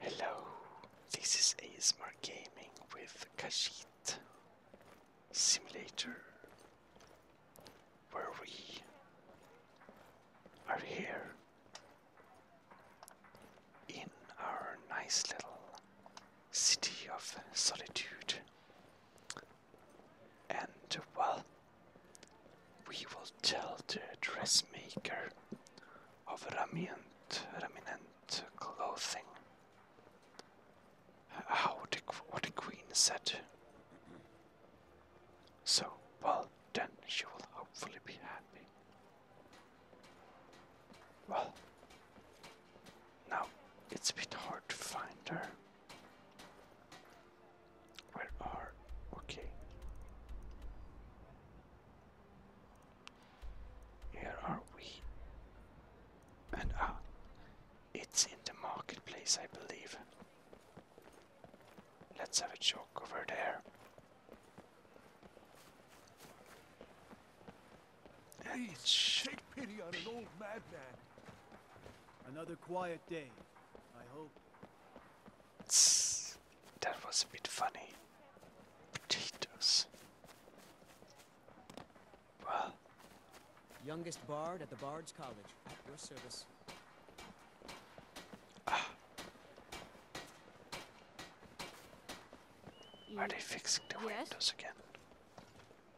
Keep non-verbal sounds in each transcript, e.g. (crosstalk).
Hello, this is ASMR Gaming with Kashit Simulator, where we are here in our nice little city of solitude. And well, we will tell the dressmaker of Raminent, Raminent clothing how the, what the queen said. So, well, then she will hopefully be happy. Well, now it's a bit hard to find her. Where are okay? Here are we. And ah, it's in the marketplace, I believe. Let's have a joke over there. Please take pity on an old madman. Another quiet day, I hope. That was a bit funny. Potatoes. Well. Youngest bard at the Bard's College. At your service. Ah. Are they fixing the windows again?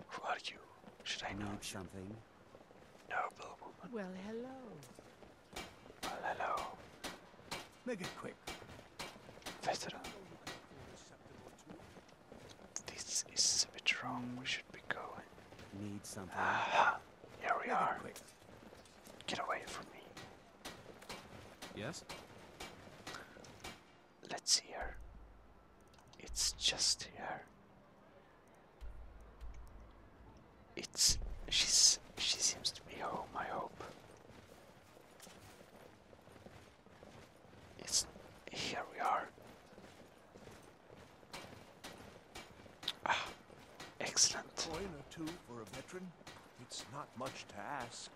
Who are you? Should I know? something? Noble Well, hello hello. Make it quick. Veteran. This is a bit wrong. We should be going. Need something. Ah, here we are. Get away from me. Yes. Let's see here. It's just here. It's she's she seems to be home, I hope. It's here we are. Ah, excellent. Coin or two for a veteran? It's not much to ask.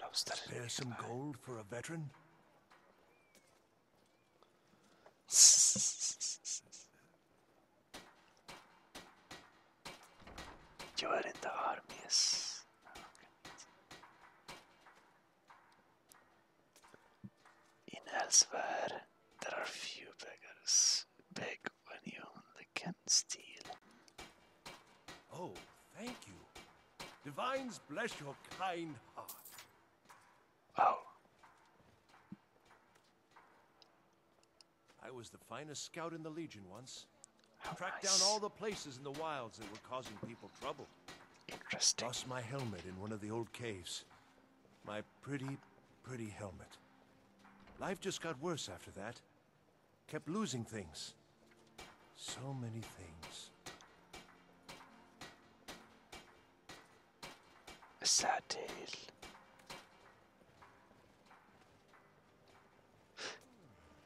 No, Spare some gold for a veteran? (laughs) Yo erin de ah, In elsewhere, there are few beggars. Beg when you only can steal. Oh, thank you. Divines bless your kind heart. Oh. I was the finest scout in the Legion once. Oh, Tracked down all the places in the wilds that were causing people trouble. Interesting. Lost my helmet in one of the old caves. My pretty, pretty helmet. Life just got worse after that. Kept losing things. So many things. A sad tale.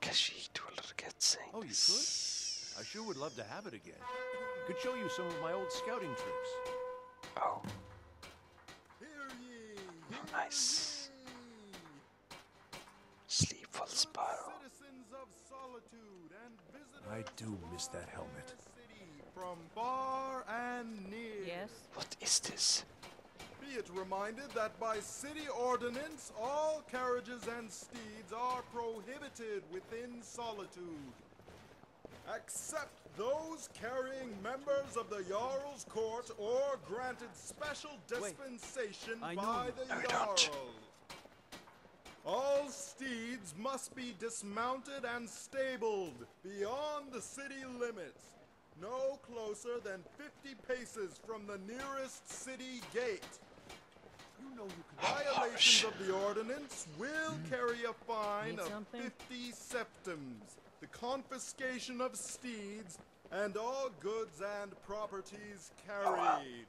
Kashid will regret saying Oh, you could? I sure would love to have it again. Could show you some of my old scouting trips. Oh. nice. Sleepful Sparrow. I do miss that helmet. Yes. What is this? Be it reminded that by city ordinance, all carriages and steeds are prohibited within solitude. Except those carrying members of the Jarl's court or granted special dispensation by the Jarl. All steeds must be dismounted and stabled beyond the city limits, no closer than 50 paces from the nearest city gate. You know oh, oh, Violations of the ordinance will hmm. carry a fine of 50 septums, the confiscation of steeds, and all goods and properties carried.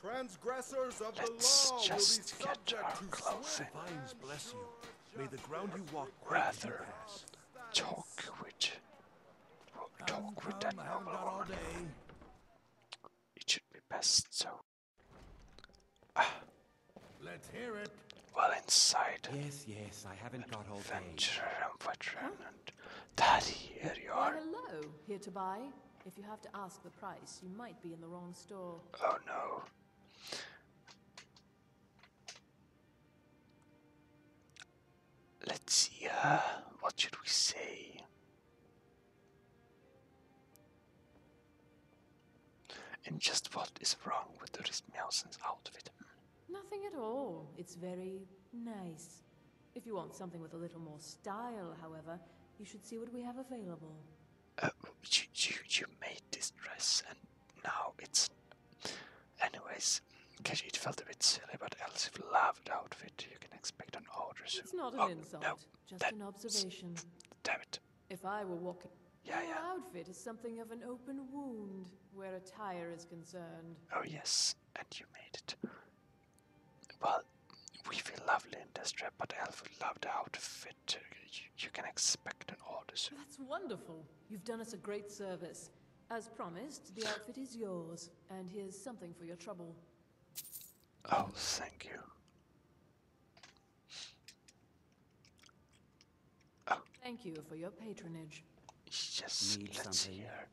Transgressors of the law will be subject to swift May the ground you walk rather talk with talk with an owl. It should be best so. Ah. Let's hear it. Well inside. Yes, yes, I haven't got all day. Adventure and veteran daddy, here you are. Hello, here to buy. If you have to ask the price, you might be in the wrong store. Oh no. Let's see, uh, what should we say? And just what is wrong with the Ristmiausen's outfit? Nothing at all. It's very nice. If you want something with a little more style, however, you should see what we have available. Um, you, you, made this dress and now it's. Anyways, Katie, it felt a bit silly, but Elsie loved the outfit. You can expect an order soon. It's not an oh, insult, no, just an observation. Damn it. If I were walking. Yeah, Your yeah. outfit is something of an open wound where attire is concerned. Oh, yes, and you made it. Well, we feel lovely in this dress, but Elf loved the outfit. You, can expect an order soon. That's wonderful. You've done us a great service. As promised, the outfit is yours, and here's something for your trouble. Oh, thank you. Oh. Thank you for your patronage. Yes, Need let's something. hear.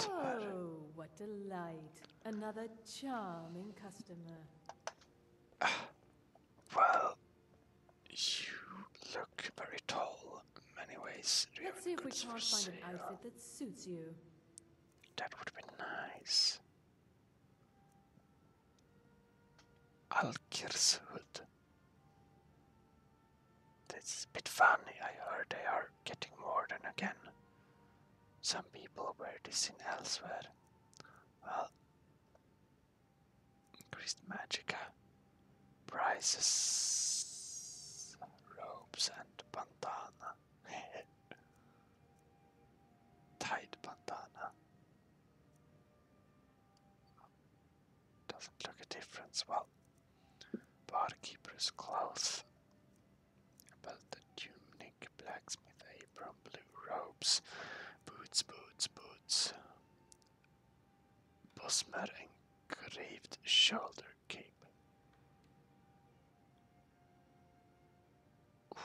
Oh, what delight. Another charming customer. (sighs) well, you look very tall in many ways. you Let's see if we can't find an outfit that suits you. That would be nice. Alkir's hood. That's a bit funny. I heard they are getting more than again. Some people wear this in elsewhere. Well, increased magica, uh, prices, robes, and pantana, (laughs) tight pantana. Doesn't look a difference. Well, barkeeper's clothes, about the tunic. Black, blacksmith apron, eh? blue robes, boots, boots, boots, Bosmer engraved shoulder cape. Ooh,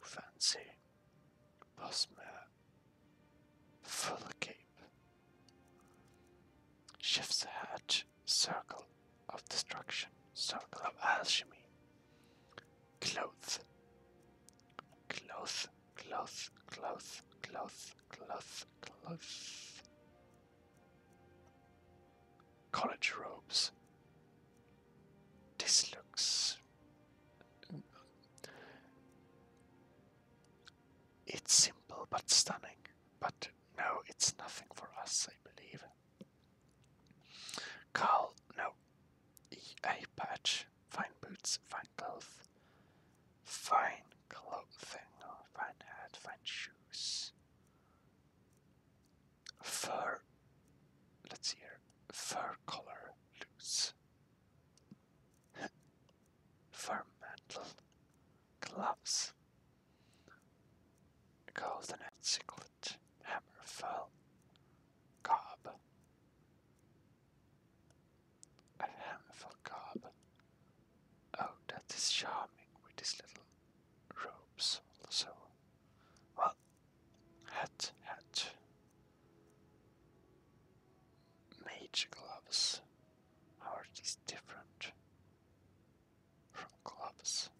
fancy. Busmer full cape. Chef's hatch circle of destruction, circle of alchemy. Clothes. Clothes. Clothes. Clothes. Clothes. Clothes. Clothes. College robes. This looks. It's simple but stunning. But no, it's nothing for us, I believe. Carl, no. EA patch. Fine boots, fine clothes. Fine clothing, fine hat, fine shoes. Fur. Let's hear. Fur collar loose. (laughs) Fur mantle. Gloves. Golden and Siglet. Hammer fell. Cobb. At Hammerfell Cobb. Oh, that is charming with these little robes also. Well, hat, hat. Mage gloves. How are these different from gloves?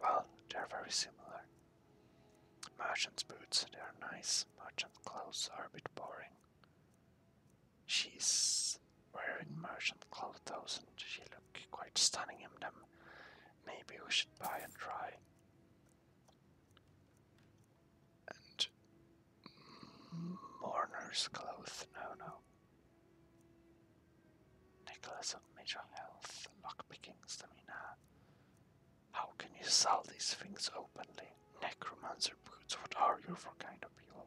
Well, they're very similar. Merchant's boots, they are nice. Merchant clothes are a bit boring. She's wearing merchant clothes and she look quite stunning in them. Maybe we should buy and try. And mm, mourner's clothes, no, no. Nicholas of Major Health, lockpickings, the Mina. How can you sell these things openly? Necromancer boots, what are you for kind of people?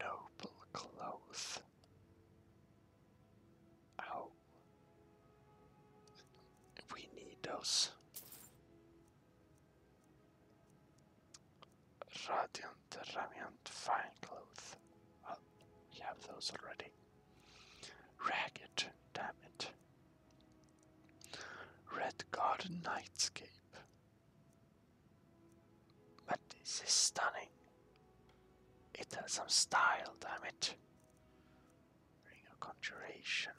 Noble clothes. Oh. We need those. Radiant, Radiant, Fine Clothes. Well, we have those already. Ragged, damn it. Red Garden Nightscape. But this is stunning. It has some style, damn it. Ring of Conjuration.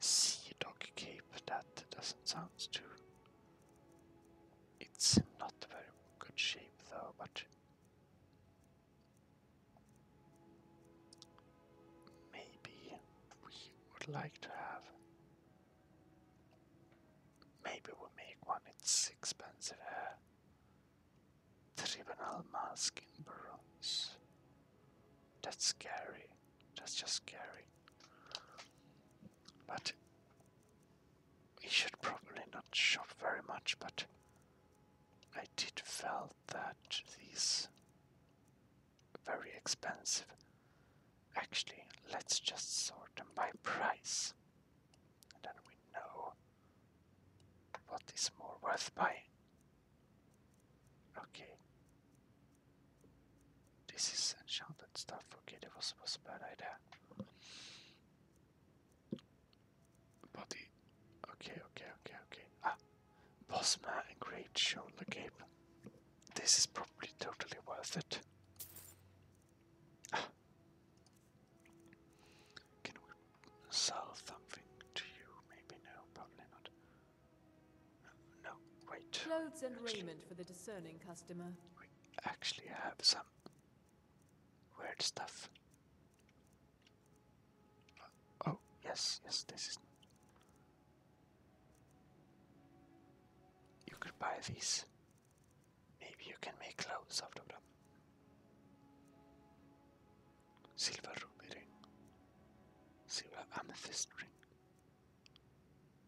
Sea Dog Cape, that doesn't sound too it's not very good shape though, but maybe we would like to have. Maybe we'll make one. It's expensive. Uh, tribunal mask in bronze. That's scary. That's just scary. But we should probably not shop very much, but I did felt that these very expensive. Actually, let's just sort them by price. then we know what is more worth buying. Okay. This is enchanted stuff. Okay, that was, was a bad idea. Body. Okay, okay, okay, okay. Ah! Boss man and great shoulder gape. This is probably totally worth it. Ah. Can we sell something to you? Maybe no, probably not. No, wait. Clothes and actually, raiment for the discerning customer. We actually have some weird stuff. Oh, yes, yes, this is. You could buy these. Maybe you can make clothes out of them. Silver ruby ring. Silver amethyst ring.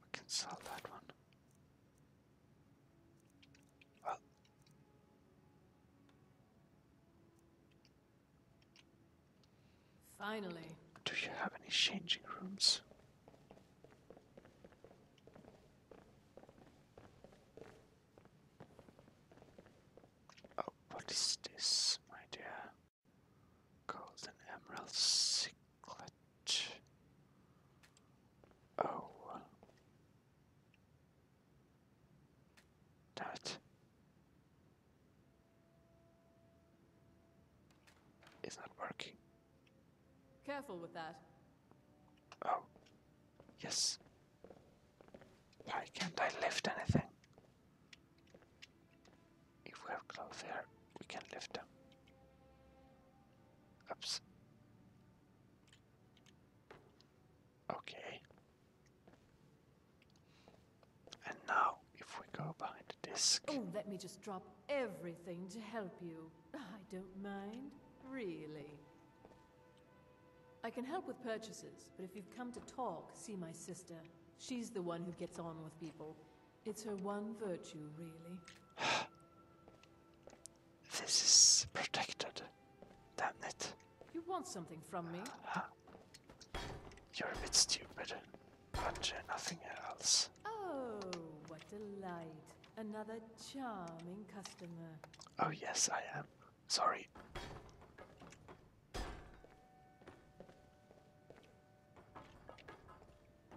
We can sell that one. Well, Finally. Do you have any changing rooms? Oh, what is this, my dear? Golden Emerald Ciclet. Oh. Damn not working. Careful with that. Oh. Yes. Why can't I lift anything? If we have clothes here, we can lift them. Oops. Okay. And now, if we go behind the disc. Oh, let me just drop everything to help you. (laughs) I don't mind, really. I can help with purchases, but if you've come to talk, see my sister. She's the one who gets on with people. It's her one virtue, really. (sighs) this is protected. Damn it. You want something from me? (sighs) You're a bit stupid, but uh, nothing else. Oh, what delight! Another charming customer. Oh, yes, I am. Sorry.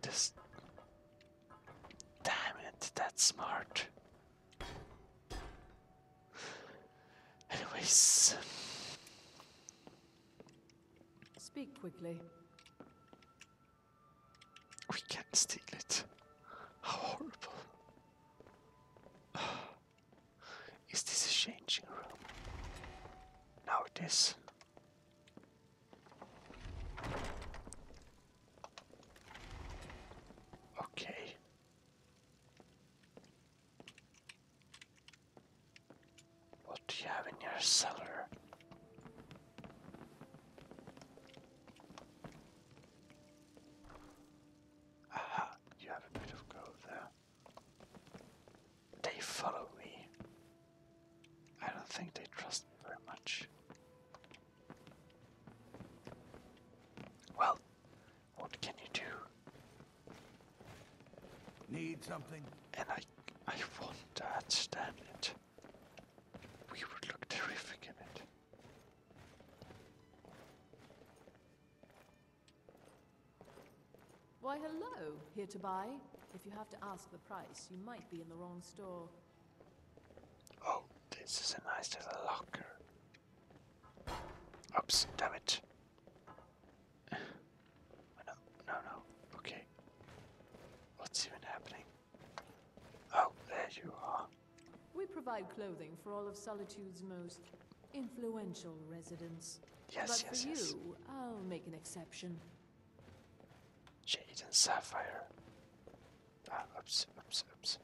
Just damn it, that's smart. Anyways, speak quickly. We can't steal it. How horrible. (sighs) Is this a changing room? Now it is. Okay. What do you have in your cellar? Aha, you have a bit of gold there. They follow me. I don't think they trust me very much. Well, what can you do? Need something? And I I want that, stand. it. We would look terrific in it. Why, hello, here to buy. If you have to ask the price, you might be in the wrong store. Oh, this is a nice little locker. Oops, damn it. (sighs) no, no, no. Okay. What's even happening? Oh, there you are. We provide clothing for all of Solitude's most influential residents. Yes, yes, for yes. you, I'll make an exception. Jade and Sapphire. Ah, oops, oops, oops.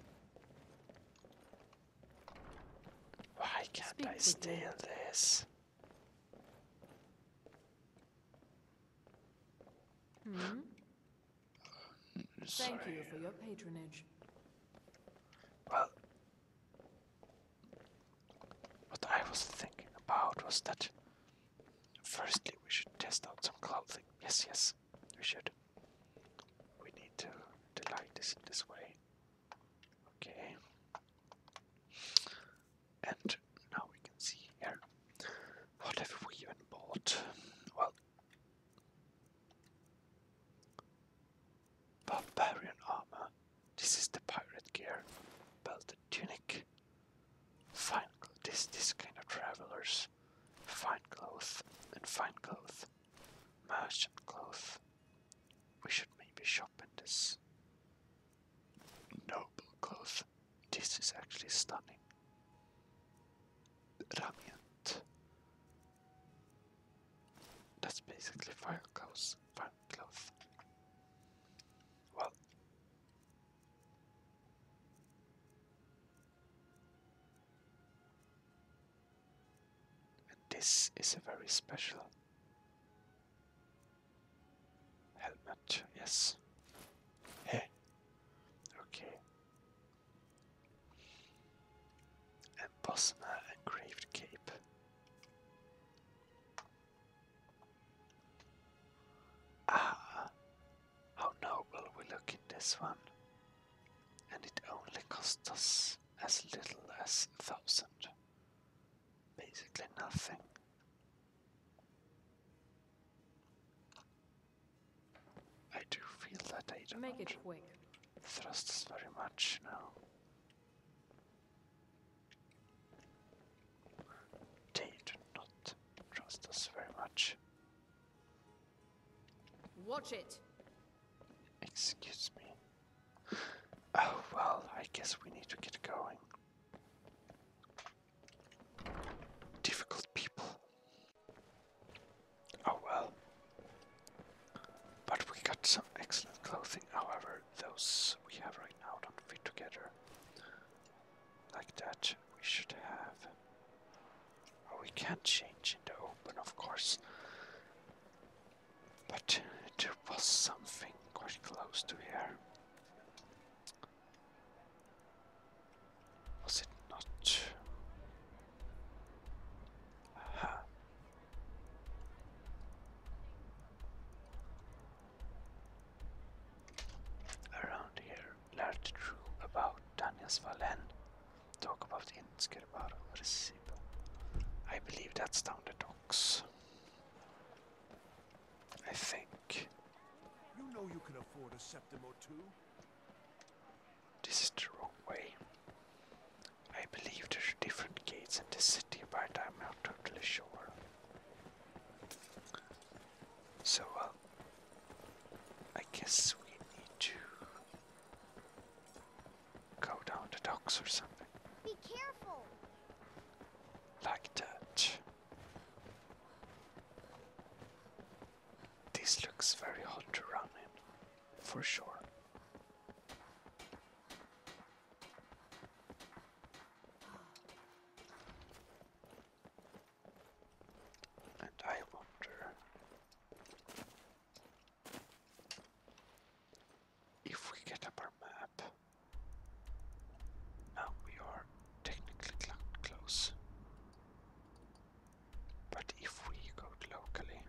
Why can't I steal this? Hmm? hmm Thank you for your patronage. What I was thinking about was that firstly we should test out some clothing. Yes, yes, we should. We need to, to light this in this way. Okay. And now we can see here. What have we even bought? Well, barbarian armor. This is the pirate gear. Belted tunic. Fine this this kind of travelers. Fine clothes and fine clothes. Merchant clothes. We should maybe shop in this. Noble clothes. This is actually stunning. Radiant. That's basically fire clothes. Fire well, this is a very special helmet, yes. Hey, okay. And Bosma engraved cape. Ah, how noble we look in this one. And it only cost us as little as a thousand. Basically nothing. I do feel that I don't Make it quick. thrust very much now. They do not trust us very much. Watch it. Excuse me. Oh, well, I guess we need to get going. Difficult people. Oh well. But we got some excellent clothing, however those we have right now don't fit together like that. We should have. we can't change in the open, of course. But there was something quite close to here. Was it not? Aha. Around here, large room about Daniels Valen. Talk about Inskirbar Recibo. I believe that's down the docks. I think. You know you can afford a septum or two. This is the wrong way. I believe there are different gates in this city, but I'm not totally sure. So, well, I guess we need to go down the docks or something. Be careful! Like that. This looks very hot to run for sure. And I wonder if we get up our map. Now we are technically cl close. But if we go locally,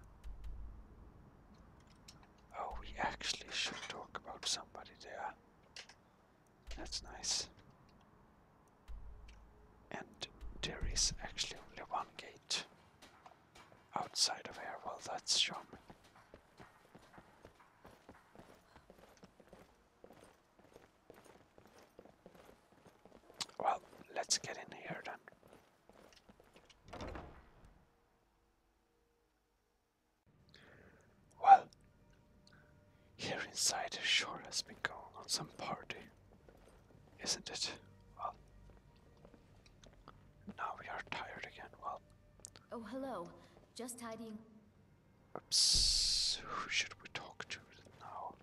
Oh, we actually should talk about somebody there. That's nice. And there is actually only one gate outside of here. Well, that's charming. Well, let's get in here then. Well, here inside sure has been going on some party, isn't it? Well, now we are tired again. Well, oh, hello, just tidying. who should we talk to now?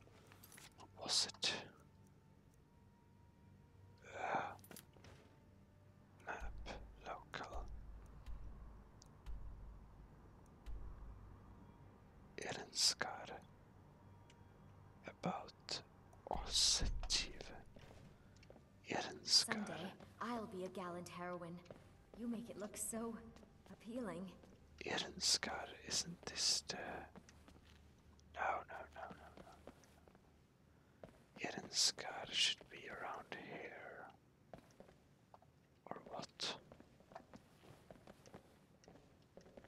was it? Uh, About Osetiv. Erenskar. Someday, I'll be a gallant heroine. You make it look so appealing. Irenskar isn't this the... No, no, no, no, no. Hidden Scar should be around here. Or what?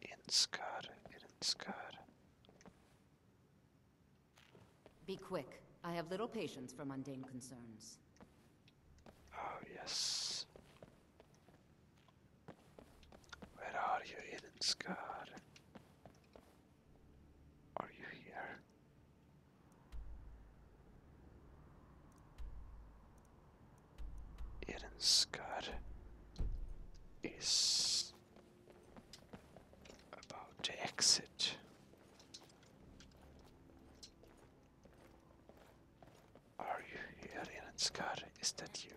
In Scar, Hidden Scar. Be quick. I have little patience for mundane concerns. Oh, yes. Where are you, Hidden Scar? Are you here? Eden Scott is about to exit. Are you here, Eden Scott? Is that you?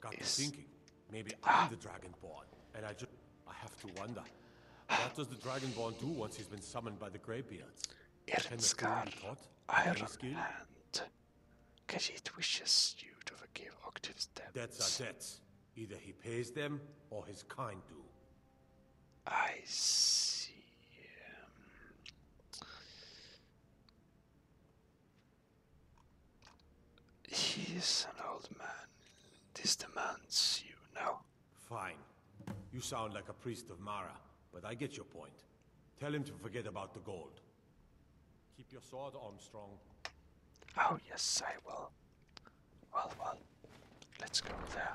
Got is... thinking. Maybe ah. I'm the Dragonborn, and I just I have to wonder. What does the Dragonborn do once he's been summoned by the Greybeards? Irinskar, Iron Hand. Khajiit wishes you to forgive Octave's debts. Debts are Either he pays them, or his kind do. I see. Um, he is an old man. This demands you know. Fine. You sound like a priest of Mara, but I get your point. Tell him to forget about the gold. Keep your sword, Armstrong. Oh, yes, I will. Well, well. Let's go there.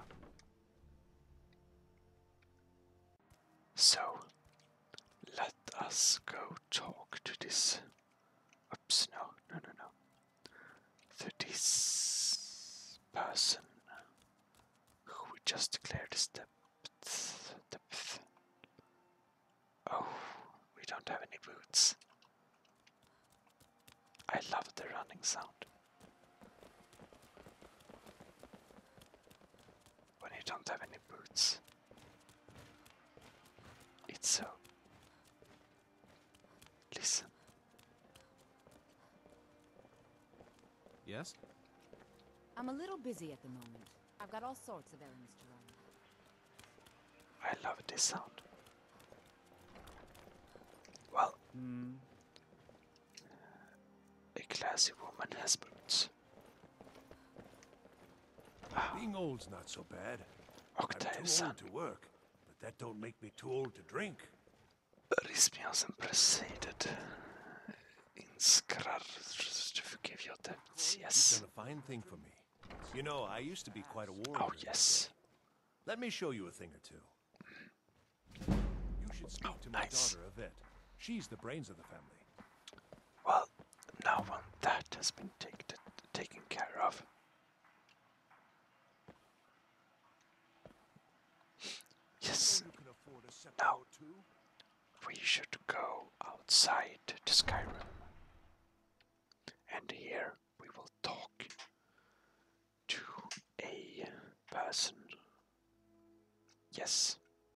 So, let us go talk to this. Oops, no, no, no, no. To this person who we just declared as depth. Oh, we don't have any boots. I love the running sound when you don't have any boots. It's so. Listen. Yes? I'm a little busy at the moment. I've got all sorts of errands to run. I love this sound. Well, hmm. a classy woman has boots. Being old's not so bad. Octave I'm too old to work, but that don't make me too old to drink. This Rismiosem preceded. Inskrar forgive your debts, yes. You've done a fine thing for me. You know, I used to be quite a warrior. Oh, yes. Let me show you a thing or two. You should speak oh, to my daughter daughter, Yvette. She's the brains of the family. Well, now um, that has been take taken care of. Yes. Now we should go outside to Skyrim. And here we will talk to a person. Yes,